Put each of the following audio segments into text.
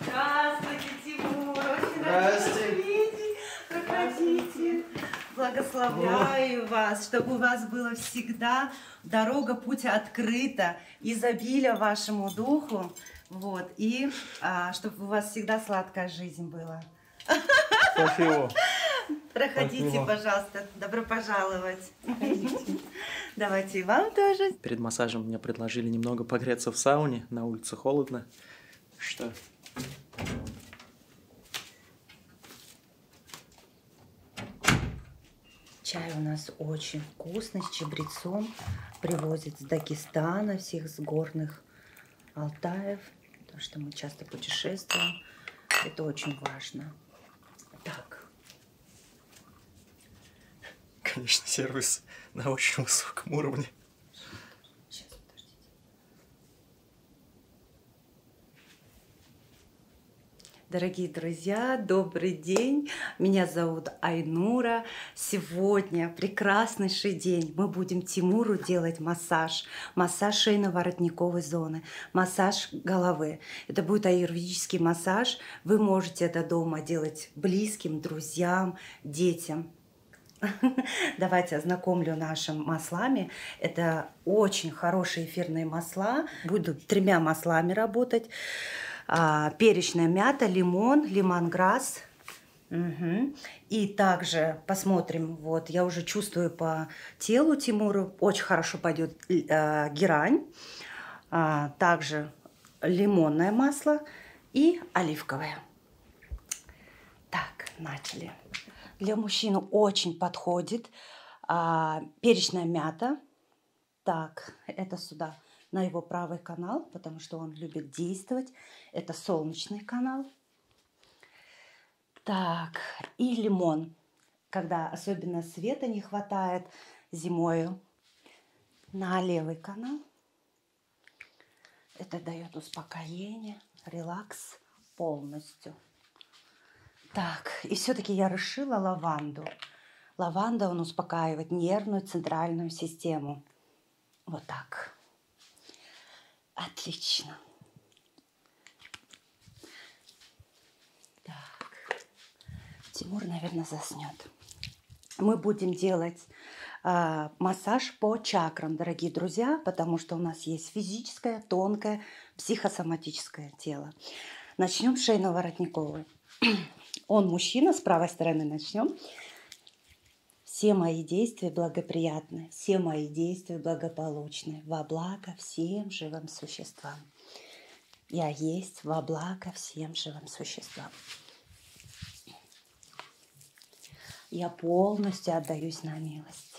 Здравствуйте, Тимур. Очень Здравствуйте. рада видеть. Проходите. Благословляю вас, чтобы у вас было всегда дорога, путь открыта, изобилие вашему духу. Вот, и а, чтобы у вас всегда сладкая жизнь была. Спасибо. Проходите, Спасибо. пожалуйста. Добро пожаловать. Проходите. Давайте и вам тоже. Перед массажем мне предложили немного погреться в сауне. На улице холодно. Что? Чай у нас очень вкусный, с чабрецом. Привозят с Дагестана, всех с горных Алтаев. Потому что мы часто путешествуем. Это очень важно. Так, Конечно, сервис на очень высоком уровне. Сейчас, подождите. Дорогие друзья, добрый день. Меня зовут Айнура. Сегодня прекраснейший день. Мы будем Тимуру делать массаж. Массаж шейно-воротниковой зоны, массаж головы. Это будет аюрведический массаж. Вы можете это дома делать быть близким, друзьям, детям. Давайте ознакомлю нашим маслами. Это очень хорошие эфирные масла. Буду тремя маслами работать. А, перечная мята, лимон, лимонграсс. Угу. И также посмотрим, вот я уже чувствую по телу Тимуру, очень хорошо пойдет э, герань. А, также лимонное масло и оливковое. Так, начали. Для мужчин очень подходит а, перечная мята. Так, это сюда на его правый канал, потому что он любит действовать. Это солнечный канал. Так, и лимон. Когда особенно света не хватает зимою, на левый канал. Это дает успокоение, релакс полностью. Так, и все-таки я расшила лаванду. Лаванда, он успокаивает нервную центральную систему. Вот так. Отлично. Так. Тимур, наверное, заснет. Мы будем делать э, массаж по чакрам, дорогие друзья, потому что у нас есть физическое, тонкое, психосоматическое тело. Начнем с шейно-воротниковой. Он мужчина, с правой стороны начнем. Все мои действия благоприятны, все мои действия благополучны, во благо всем живым существам. Я есть во благо всем живым существам. Я полностью отдаюсь на милость.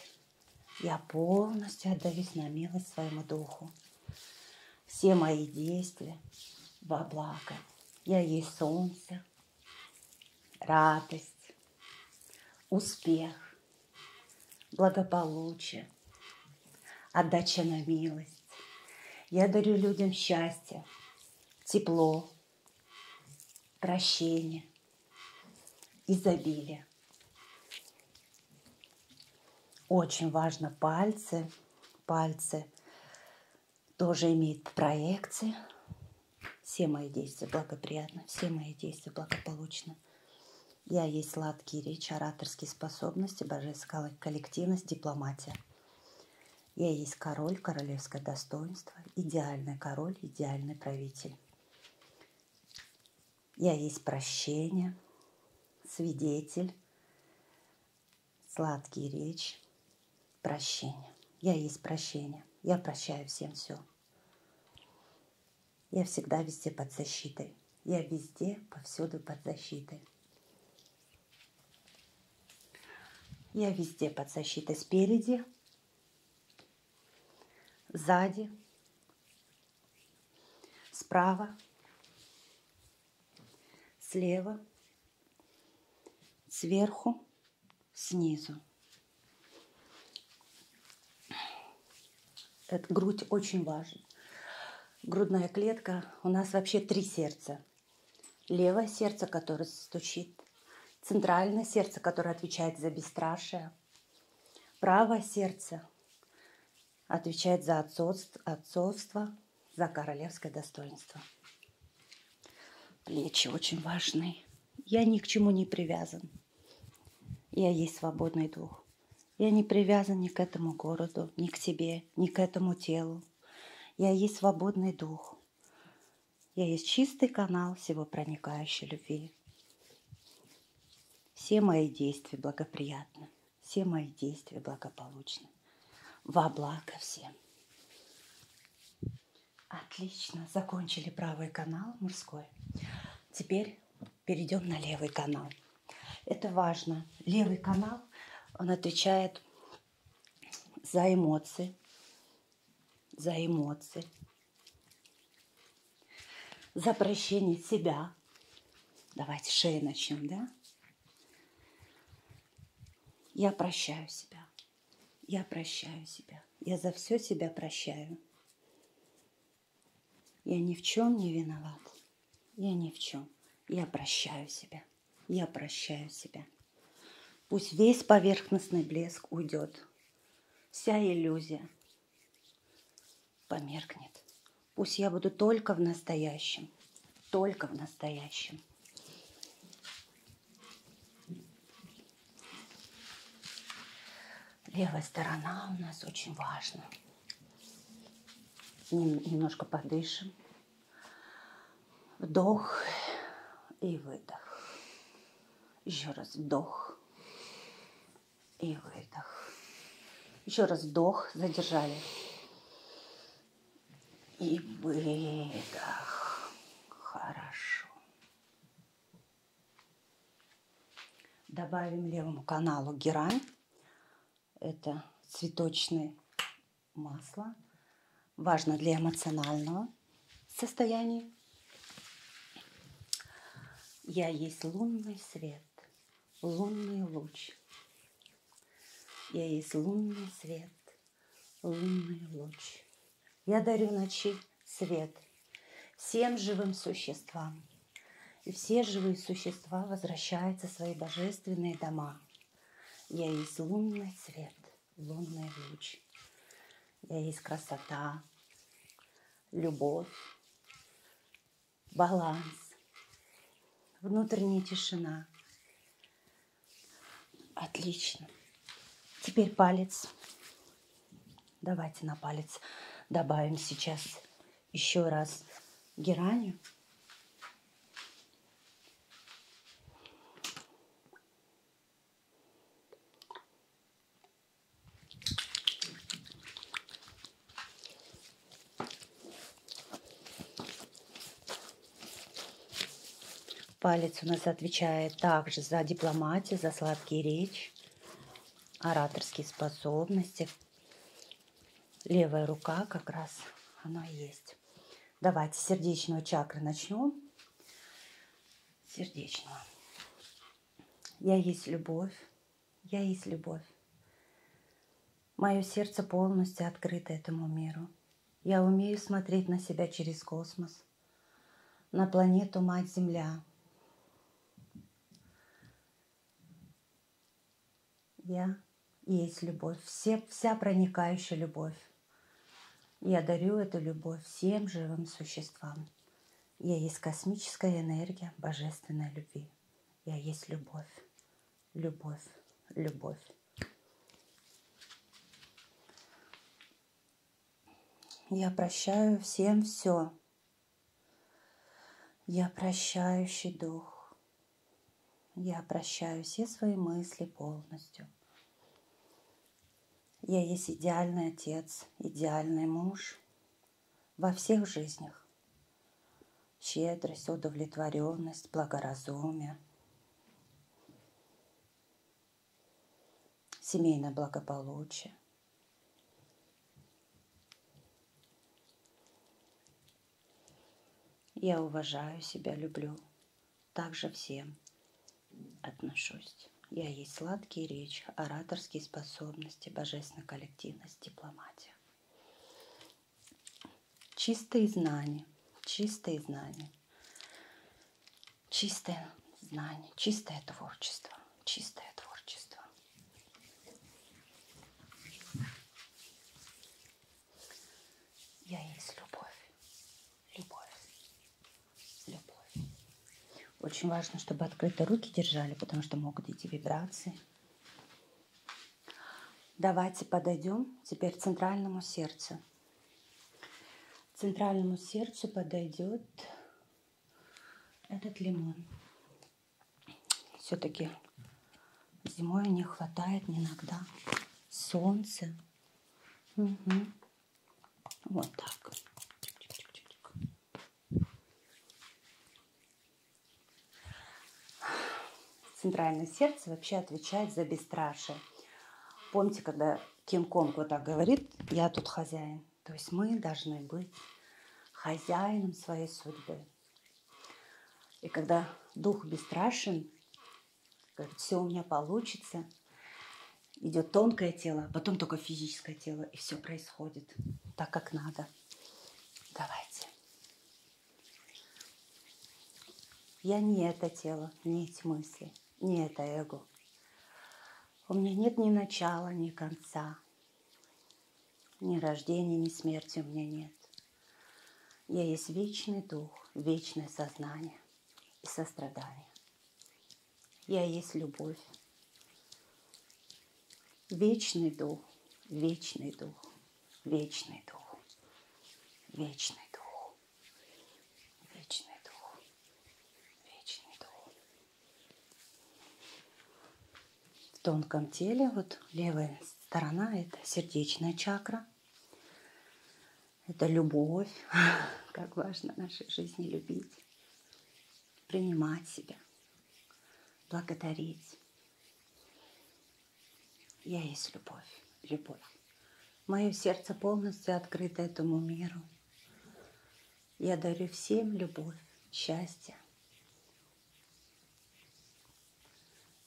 Я полностью отдаюсь на милость своему духу. Все мои действия во благо. Я есть солнце, радость, успех, благополучие, отдача на милость я дарю людям счастье, тепло, прощение, изобилие. Очень важно пальцы. Пальцы тоже имеют проекции. Все мои действия благоприятны, все мои действия благополучны. Я есть сладкие речи, ораторские способности, божественная коллективность, дипломатия. Я есть король, королевское достоинство, идеальный король, идеальный правитель. Я есть прощение, свидетель, сладкие речь, прощение. Я есть прощение. Я прощаю всем все. Я всегда везде под защитой. Я везде, повсюду под защитой. Я везде под защитой спереди, сзади, справа, слева, сверху, снизу. Эта грудь очень важна грудная клетка, у нас вообще три сердца. Левое сердце, которое стучит, центральное сердце, которое отвечает за бесстрашие, правое сердце отвечает за отцовство, отцовство за королевское достоинство. Плечи очень важны. Я ни к чему не привязан. Я есть свободный дух. Я не привязан ни к этому городу, ни к себе, ни к этому телу. Я есть свободный дух. Я есть чистый канал всего проникающей любви. Все мои действия благоприятны. Все мои действия благополучны. Во благо всем. Отлично, закончили правый канал мужской. Теперь перейдем на левый канал. Это важно. Левый канал, он отвечает за эмоции, за эмоции, за прощение себя. Давайте шеи начнем, да? Я прощаю себя. Я прощаю себя. Я за все себя прощаю. Я ни в чем не виноват. Я ни в чем. Я прощаю себя. Я прощаю себя. Пусть весь поверхностный блеск уйдет. Вся иллюзия померкнет. Пусть я буду только в настоящем. Только в настоящем. Левая сторона у нас очень важна. Немножко подышим. Вдох и выдох. Еще раз вдох и выдох. Еще раз вдох, задержали. И выдох. Хорошо. Добавим левому каналу герань. Это цветочное масло. Важно для эмоционального состояния. Я есть лунный свет, лунный луч. Я есть лунный свет, лунный луч. Я дарю ночи свет всем живым существам. И все живые существа возвращаются в свои божественные дома сама. Я есть лунный свет, лунный луч. Я есть красота, любовь, баланс, внутренняя тишина. Отлично. Теперь палец. Давайте на палец добавим сейчас еще раз геранью. Палец у нас отвечает также за дипломатию, за сладкие речь, ораторские способности, левая рука как раз она есть. Давайте сердечную чакру начнем. Сердечного. Я есть любовь. Я есть любовь. Мое сердце полностью открыто этому миру. Я умею смотреть на себя через космос, на планету Мать Земля. Я есть любовь, все, вся проникающая любовь. Я дарю эту любовь всем живым существам. Я есть космическая энергия божественной любви. Я есть любовь, любовь, любовь. Я прощаю всем все. Я прощающий дух. Я прощаю все свои мысли полностью. Я есть идеальный отец, идеальный муж во всех жизнях. Щедрость, удовлетворенность, благоразумие, семейное благополучие. Я уважаю себя, люблю. Также всем отношусь. Я есть сладкие речь, ораторские способности, божественная коллективность, дипломатия. Чистые знания, чистые знания, чистое знание, чистое творчество, чистое творчество. Я есть любовь. Любовь. Любовь. Очень важно, чтобы открыто руки держали, потому что могут идти вибрации. Давайте подойдем теперь к центральному сердцу. К центральному сердцу подойдет этот лимон. Все-таки зимой не хватает иногда солнца. Угу. Вот так. Центральное сердце вообще отвечает за бесстрашие. Помните, когда Кинг Конг вот так говорит, я тут хозяин. То есть мы должны быть хозяином своей судьбы. И когда дух бесстрашен, говорит, все у меня получится, идет тонкое тело, потом только физическое тело, и все происходит так, как надо. Давайте. Я не это тело, не эти мысли, не это эго. У меня нет ни начала, ни конца. Ни рождения, ни смерти у меня нет. Я есть вечный дух, вечное сознание и сострадание. Я есть любовь. Вечный дух, вечный дух, вечный дух, вечный дух, вечный дух, вечный дух в тонком теле. Вот левая сторона – это сердечная чакра. Это любовь. Как важно в нашей жизни любить, принимать себя, благодарить. Я есть любовь, любовь. Мое сердце полностью открыто этому миру. Я дарю всем любовь, счастье,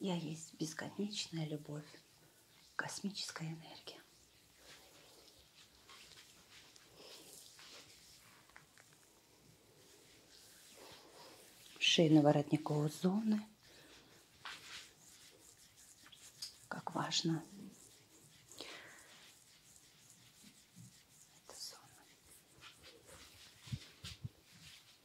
я есть бесконечная любовь, космическая энергия. шейно-воротниковой зоны. Как важно. Эта зона.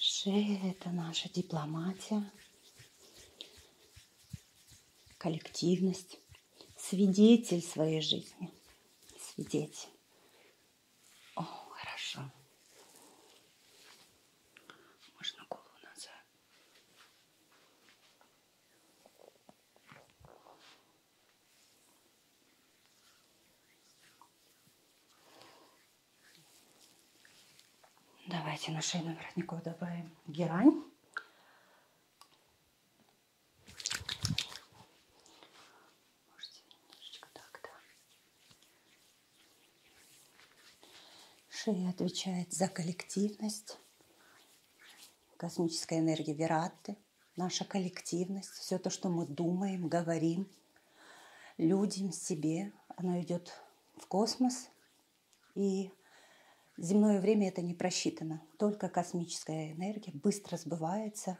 Шея – это наша дипломатия, коллективность, свидетель своей жизни. Свидетель. О, хорошо. Можно голову назад. Давайте на шейную воротников добавим герань. Так, да. Шея отвечает за коллективность, космическая энергия Вератты наша коллективность, все то, что мы думаем, говорим, людям, себе, оно идет в космос. И земное время это не просчитано. Только космическая энергия быстро сбывается.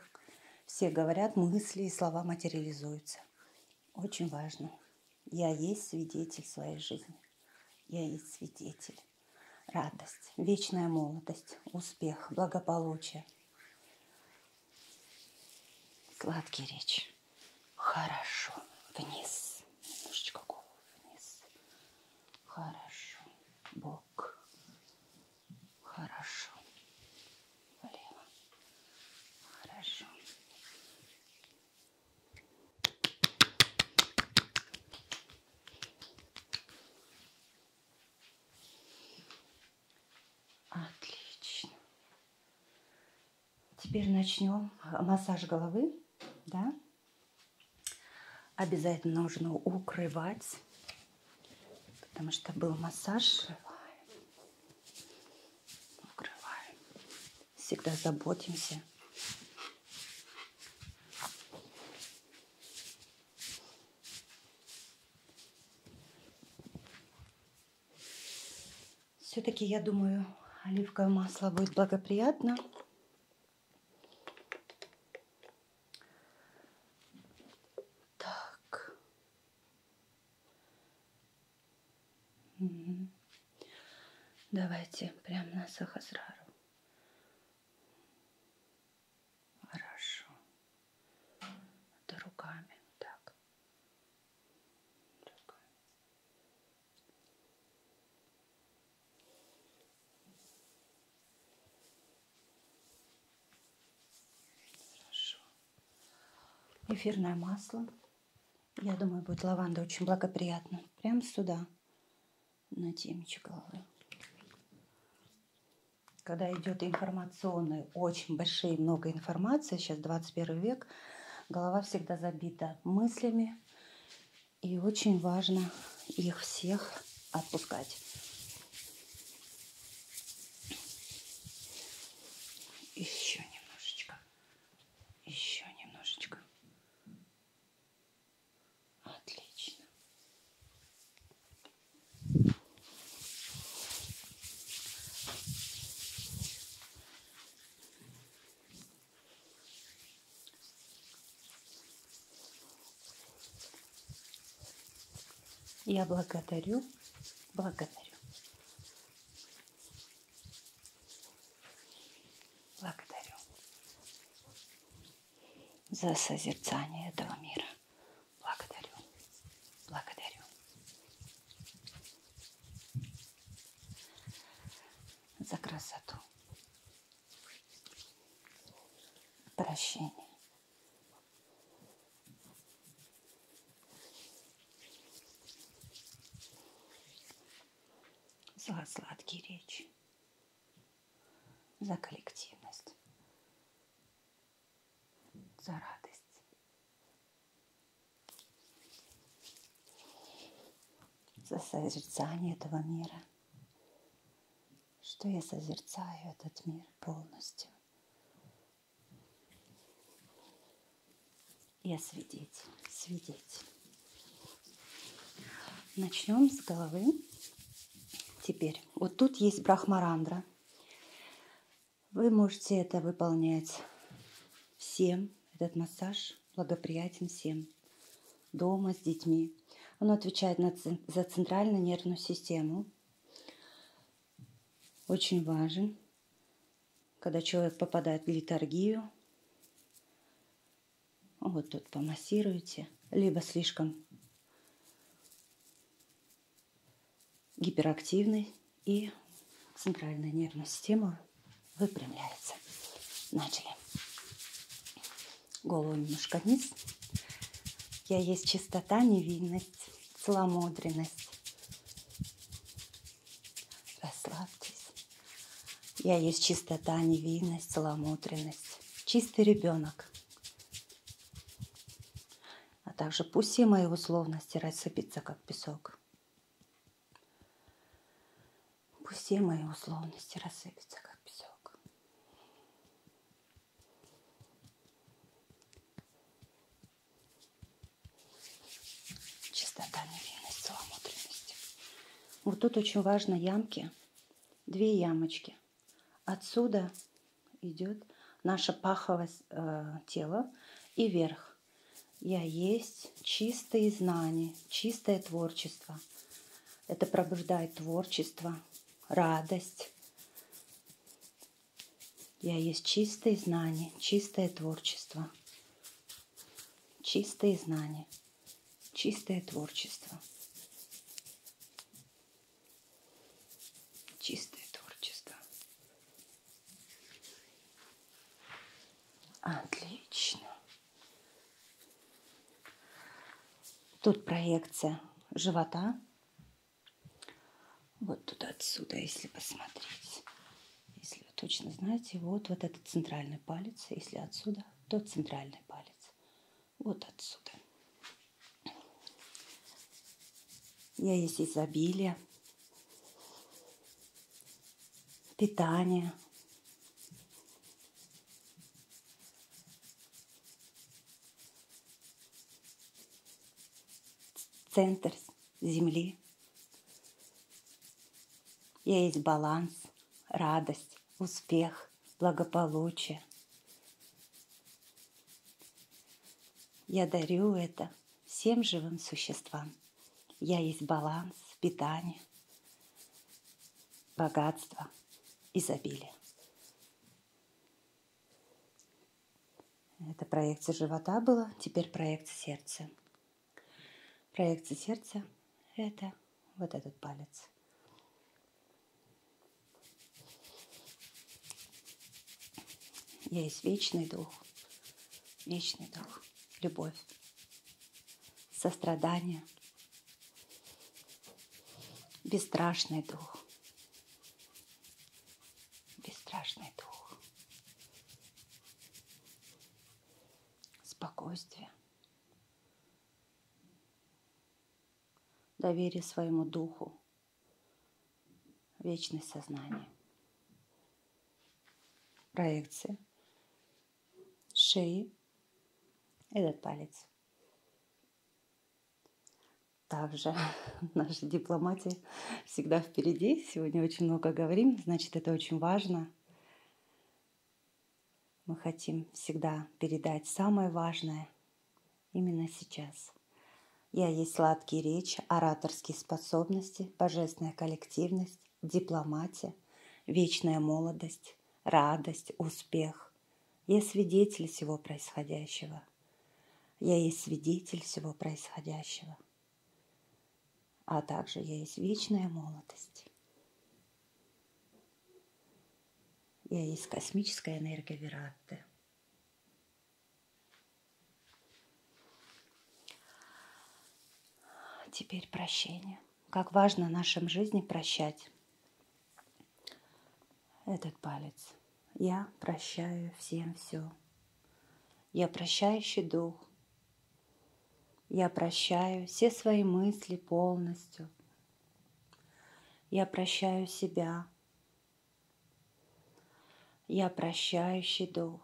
Все говорят, мысли и слова материализуются. Очень важно. Я есть свидетель своей жизни. Я есть свидетель. Радость, вечная молодость, успех, благополучие. Сладкий речь. Хорошо. Вниз. Немножечко голову вниз. Хорошо. Бок. Хорошо. Влево. Хорошо. Отлично. Теперь начнем массаж головы. Да? Обязательно нужно укрывать, потому что был массаж. Укрываем. Укрываем. Всегда заботимся. Все-таки, я думаю, оливковое масло будет благоприятно. Так. Угу. Давайте прямо на сахасрару. Хорошо. Это руками. Так. Руками. Хорошо. Эфирное масло. Я думаю, будет лаванда очень благоприятно. Прямо сюда, на темечко головы когда идет информационный, очень большие, много информации, сейчас 21 век, голова всегда забита мыслями, и очень важно их всех отпускать. Еще немножечко, еще немножечко. Отлично. Я благодарю, благодарю. Благодарю за созерцание этого мира. Благодарю. Благодарю. За красоту. Прощение. За сладкие речи. За коллективность за радость. За созерцание этого мира. Что я созерцаю этот мир полностью. Я свидетель, свидетель. Начнем с головы. Теперь, вот тут есть брахмарандра. Вы можете это выполнять всем. Этот массаж благоприятен всем. Дома, с детьми. Оно отвечает за центральную нервную систему. Очень важен, когда человек попадает в литургию. Вот тут помассируете, либо слишком гиперактивной и центральная нервная система выпрямляется. Начали. Голову немножко вниз. Я есть чистота, невинность, целомудренность. Расслабьтесь. Я есть чистота, невинность, целомудренность. Чистый ребенок а также пусть все мои условности рассыпятся, как песок. Пусть все мои условности рассыпятся, как песок. Чистота, невинность, целомудренность. Вот тут очень важно ямки. Две ямочки. Отсюда идет наше паховое э, тело и вверх. Я есть чистые знания, чистое творчество. Это пробуждает творчество, радость. Я есть чистые знания, чистое творчество. Чистые знания, чистое творчество. Чистое творчество. Отлично. Тут проекция живота. Вот туда отсюда, если посмотреть. Если вы точно знаете, вот, вот этот центральный палец. Если отсюда, то центральный палец. Вот отсюда. Я есть изобилие, питание. Центр Земли. Я есть баланс, радость, успех, благополучие, я дарю это всем живым существам. Я есть баланс, питание, богатство, изобилие. Это проекция живота была, теперь проекция сердца. Проекция сердца – это вот этот палец. Я есть вечный дух, вечный дух, любовь, сострадание, бесстрашный дух, бесстрашный дух, спокойствие, доверие своему духу, Вечность сознания. Проекция шеи, этот палец. Также наша дипломатия всегда впереди. Сегодня очень много говорим, значит, это очень важно. Мы хотим всегда передать самое важное – именно сейчас. Я есть сладкие речи, ораторские способности, божественная коллективность, дипломатия, вечная молодость, радость, успех. Я свидетель всего происходящего. Я есть свидетель всего происходящего. А также я есть вечная молодость. Я есть космическая энергия Вератты. Теперь прощение. Как важно в нашем жизни прощать этот палец. Я прощаю всем все. Я прощающий дух. Я прощаю все свои мысли полностью. Я прощаю себя, я прощающий дух.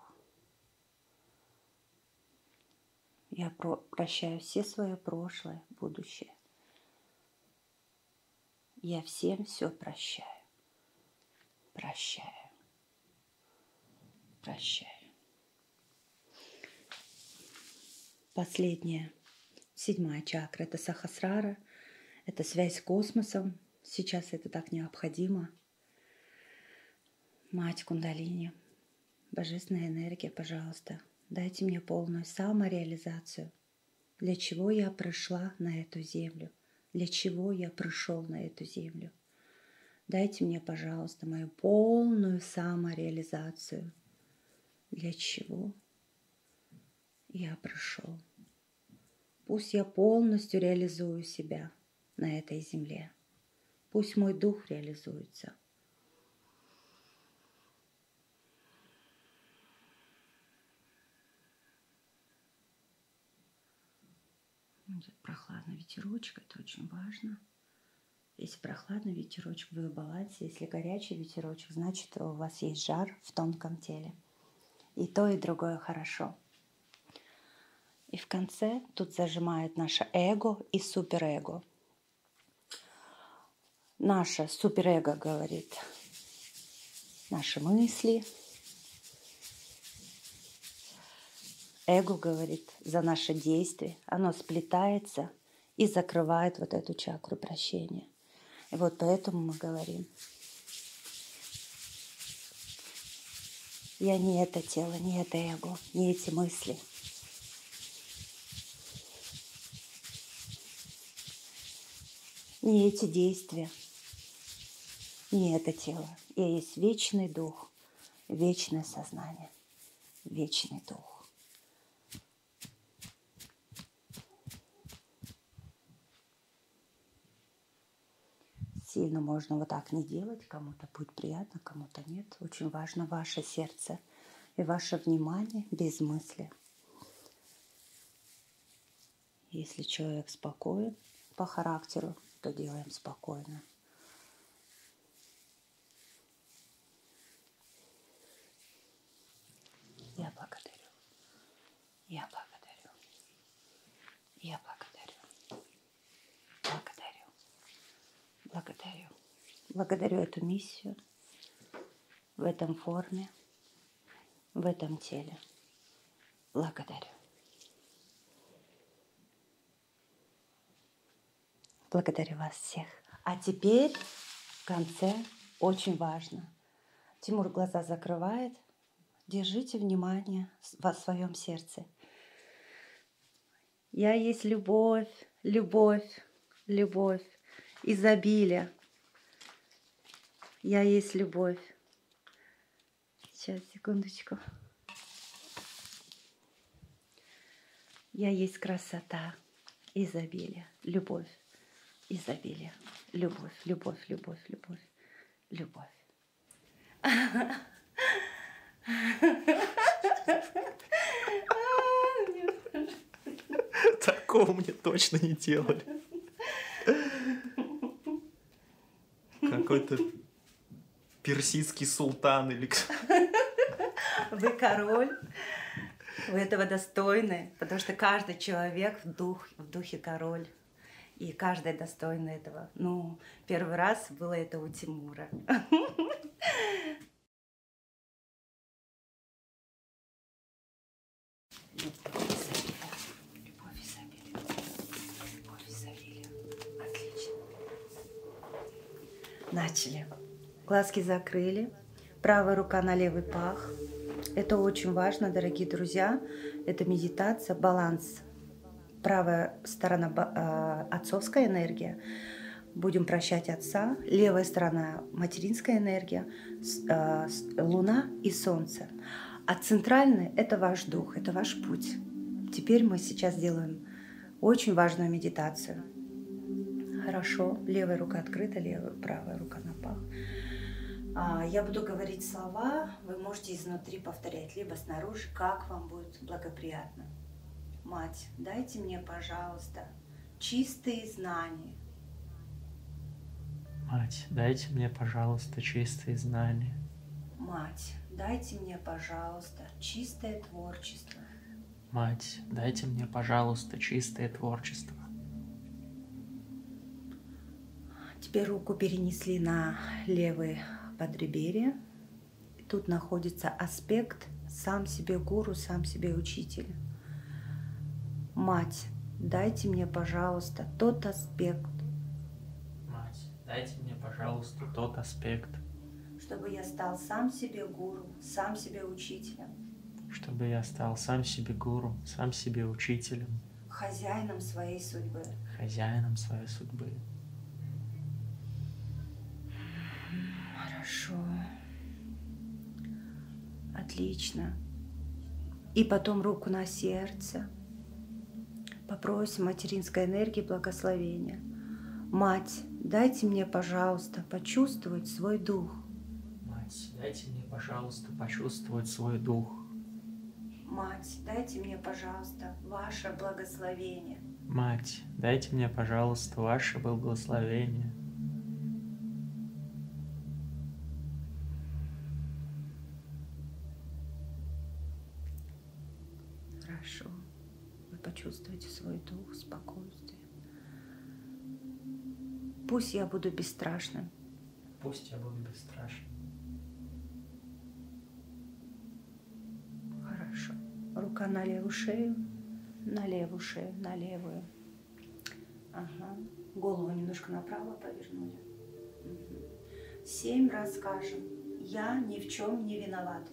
Я про прощаю все свое прошлое, будущее. Я всем все прощаю. Прощаю. Прощаю. Последнее Седьмая чакра – это сахасрара, это связь с космосом. Сейчас это так необходимо. Мать Кундалини, божественная энергия, пожалуйста, дайте мне полную самореализацию. Для чего я пришла на эту землю? Для чего я пришел на эту землю? Дайте мне, пожалуйста, мою полную самореализацию. Для чего я прошел. Пусть я полностью реализую себя на этой земле. Пусть мой дух реализуется. Идет прохладный ветерочек, это очень важно. Если прохладный ветерочек, вы в балансе. Если горячий ветерочек, значит у вас есть жар, шар в тонком теле. И то, и другое хорошо. И в конце тут зажимает наше эго и суперэго. Наше суперэго говорит наши мысли. Эго говорит за наши действия. Оно сплетается и закрывает вот эту чакру прощения жизни. И вот поэтому мы говорим. Я не это тело, не это эго, не эти мысли. Не эти действия, не это тело. Я есть вечный дух, вечное сознание, вечный дух. Сильно можно вот так не делать, кому-то будет приятно, кому-то нет. Очень важно ваше сердце и ваше внимание без мысли. Если человек спокоен по характеру, то делаем спокойно. Я благодарю. Я благодарю. Я благодарю. Благодарю. Благодарю. Благодарю эту миссию в этом форме, в этом теле. Благодарю. Благодарю вас всех. А теперь в конце очень важно – Тимур глаза закрывает. Держите внимание во своем сердце. Я есть любовь, любовь, любовь, изобилие. Я есть любовь. Сейчас, секундочку. Я есть красота изобилие, любовь, изобилие, любовь, любовь, любовь, любовь, любовь. Такого мне точно не делали. Какой-то персидский султан или кто. Вы король. Вы этого достойны, потому что каждый человек в, дух, в духе король. И каждая достойна этого. Ну, первый раз было это у Тимура. Начали. Глазки закрыли. Правая рука на левый пах. Это очень важно, дорогие друзья. Это медитация, баланс. Правая сторона э, отцовская энергия. Будем прощать отца. Левая сторона материнская энергия. Э, луна и солнце. А центральный – это ваш дух, это ваш путь. Теперь мы сейчас делаем очень важную медитацию. Хорошо, левая рука открыта, левая левая, э, правая рука на пах. А, я буду говорить слова, вы можете изнутри повторять, либо снаружи, как вам будет благоприятно. Мать, дайте мне, пожалуйста, чистые знания. Мать, дайте мне, пожалуйста, чистые знания. Мать, дайте мне, пожалуйста, чистое творчество. Мать, дайте мне, пожалуйста, чистое творчество. Тебе руку перенесли на левый подреберье. И тут находится аспект сам себе гуру, сам себе учитель. Мать, дайте мне, пожалуйста, тот аспект. Мать, дайте мне, пожалуйста, тот аспект. Чтобы я стал сам себе гуру, сам себе учителем чтобы я стал сам себе гуру, сам себе учителем. Хозяином своей судьбы. Хозяином своей судьбы. Хорошо. Отлично. И потом руку на сердце. Попросим материнской энергии благословения. Мать, дайте мне, пожалуйста, пожалуйста, почувствовать свой дух. Мать, дайте мне, пожалуйста, почувствовать свой дух. Мать, дайте мне, пожалуйста, ваше благословение. Мать, дайте мне, пожалуйста, ваше благословение. Хорошо. Вы почувствуете свой дух, спокойствие. Пусть я буду бесстрашным. Пусть я буду бесстрашным. Хорошо. Рука на левую шею, на левую шею, на левую. Ага. Голову немножко направо повернули. Угу. Семь раз скажем. Я ни в чем не виноват.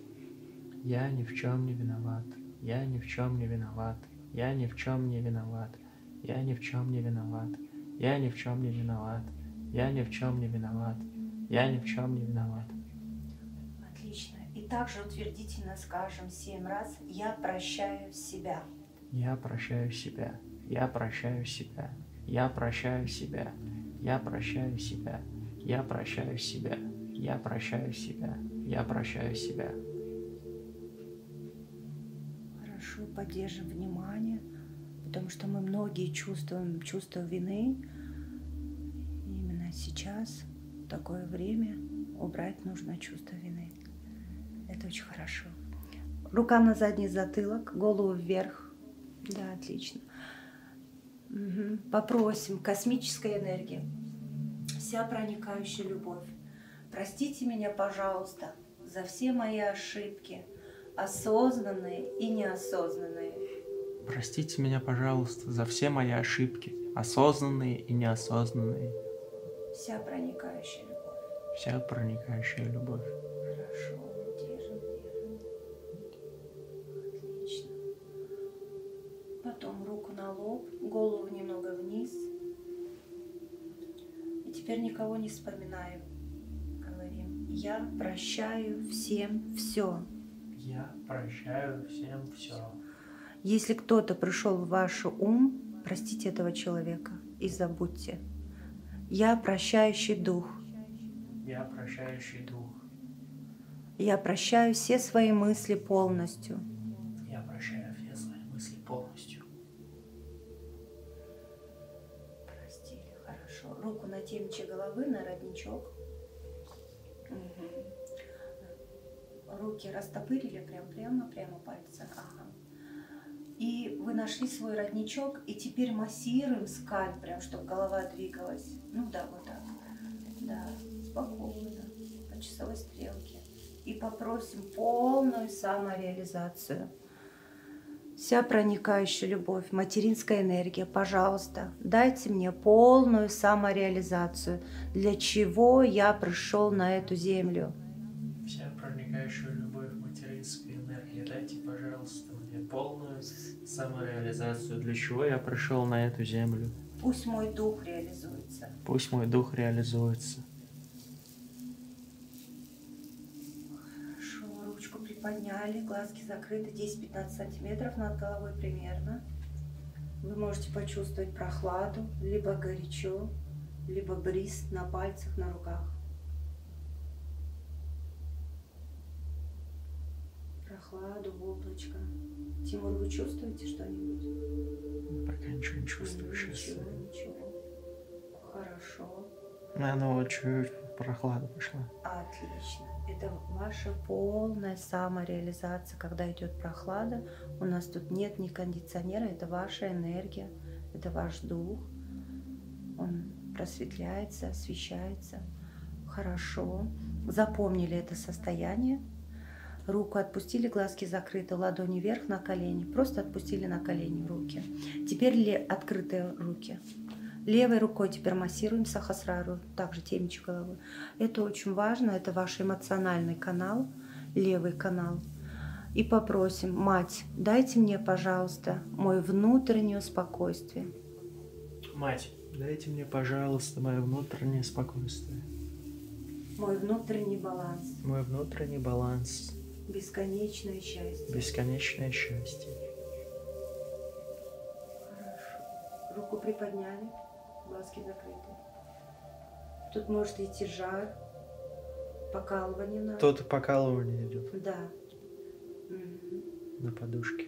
Я ни в чем не виноват. Я ни в чем не виноват. Я ни в чем не виноват. Я ни в чем не виноват. Я ни в чем не виноват. Я ни в чем не виноват. Я ни в чем не виноват. Отлично. И также утвердительно скажем семь раз «Я прощаю себя». Я прощаю себя. Я прощаю себя. Я прощаю себя. Я прощаю себя. Я прощаю себя. Я прощаю себя. Я прощаю себя. Хорошо, поддержим внимание, потому что мы многие чувствуем чувство вины. Именно сейчас, в такое время, убрать нужно чувство вины. Это очень хорошо. Рука на задний затылок, голову вверх. Да, отлично. Угу. Попросим космическая энергия, вся проникающая любовь. Простите меня, пожалуйста, за все мои ошибки, осознанные и неосознанные. Простите меня, пожалуйста, за все мои ошибки, осознанные и неосознанные. Вся проникающая любовь. Вся проникающая любовь. Хорошо, держим, держим. Отлично потом руку на лоб, голову немного вниз. И теперь никого не вспоминаю. Говорим, я прощаю всем все. Я прощаю всем все. Если кто-то пришел в ваш ум, простите этого человека и забудьте. Я прощающий дух. Я прощающий дух. Я прощаю все свои мысли полностью полностью. Я прощаю все свои мысли полностью. Простили, хорошо. Руку на темче головы, на родничок. Угу. Руки растопырили прям прямо, прямо пальцы. Ага. И вы нашли свой родничок, и теперь массируем скальп, прям, чтобы голова двигалась. Ну да, вот так. Да, спокойно, по часовой стрелке и попросим полную самореализацию. Вся проникающая любовь, материнская энергия, пожалуйста, дайте мне полную самореализацию, для чего я пришел на эту землю. Вся проникающая любовь, материнская энергия, дайте, пожалуйста, мне полную самореализацию, для чего я пришел на эту землю. Пусть мой дух реализуется. Пусть мой дух реализуется. Хорошо, ручку приподняли, глазки закрыты 10-15 сантиметров над головой примерно. Вы можете почувствовать прохладу, либо горячо, либо бриз на пальцах, на руках. Прохладу, облачко. Тимур, вы чувствуете что-нибудь? Пока ничего не чувствую ну, сейчас. Ничего, ничего. Хорошо. Ну, оно чуть прохлада пошла. Отлично. Это ваша полная самореализация, когда идет прохлада. У нас тут нет ни кондиционера, это ваша энергия, это ваш дух. Он просветляется, освещается. Хорошо. Запомнили это состояние. Руку отпустили, глазки закрыты, ладони вверх на колени. Просто отпустили на колени руки. Теперь ли открытые руки. Левой рукой теперь массируем сахасрару, также темечи головы. Это очень важно, это ваш эмоциональный канал, левый канал. И попросим, мать, дайте мне, пожалуйста, мое внутреннее спокойствие. Мать, дайте мне, пожалуйста, мое внутреннее спокойствие. Мой внутренний баланс. Мой внутренний баланс. Бесконечное счастье. Бесконечное счастье. Хорошо. Руку приподняли, глазки закрыты. Тут может идти жар, покалывание надо. Тут покалывание идет. Да. Угу. На подушке.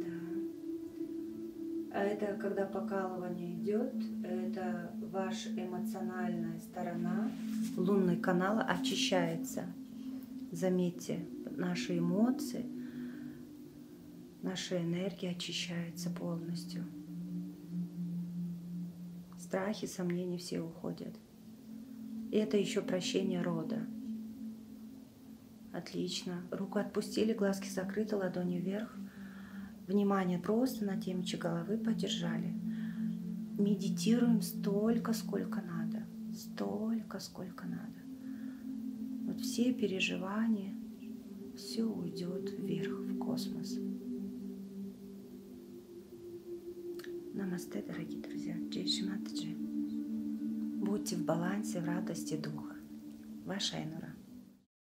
Да. А это когда покалывание идет, это ваша эмоциональная сторона лунный канала очищается. Заметьте, наши эмоции, наша энергия очищается полностью. Страхи, сомнения все уходят. И это еще прощение рода. Отлично. Руку отпустили, глазки закрыты, ладони вверх внимание просто на темечек головы подержали. Медитируем столько, сколько надо. Столько, сколько надо. Вот все переживания, все уйдет вверх, в космос. Намасте, дорогие друзья. Джей Шиматаджи. Будьте в балансе, в радости духа. Ваша Энура.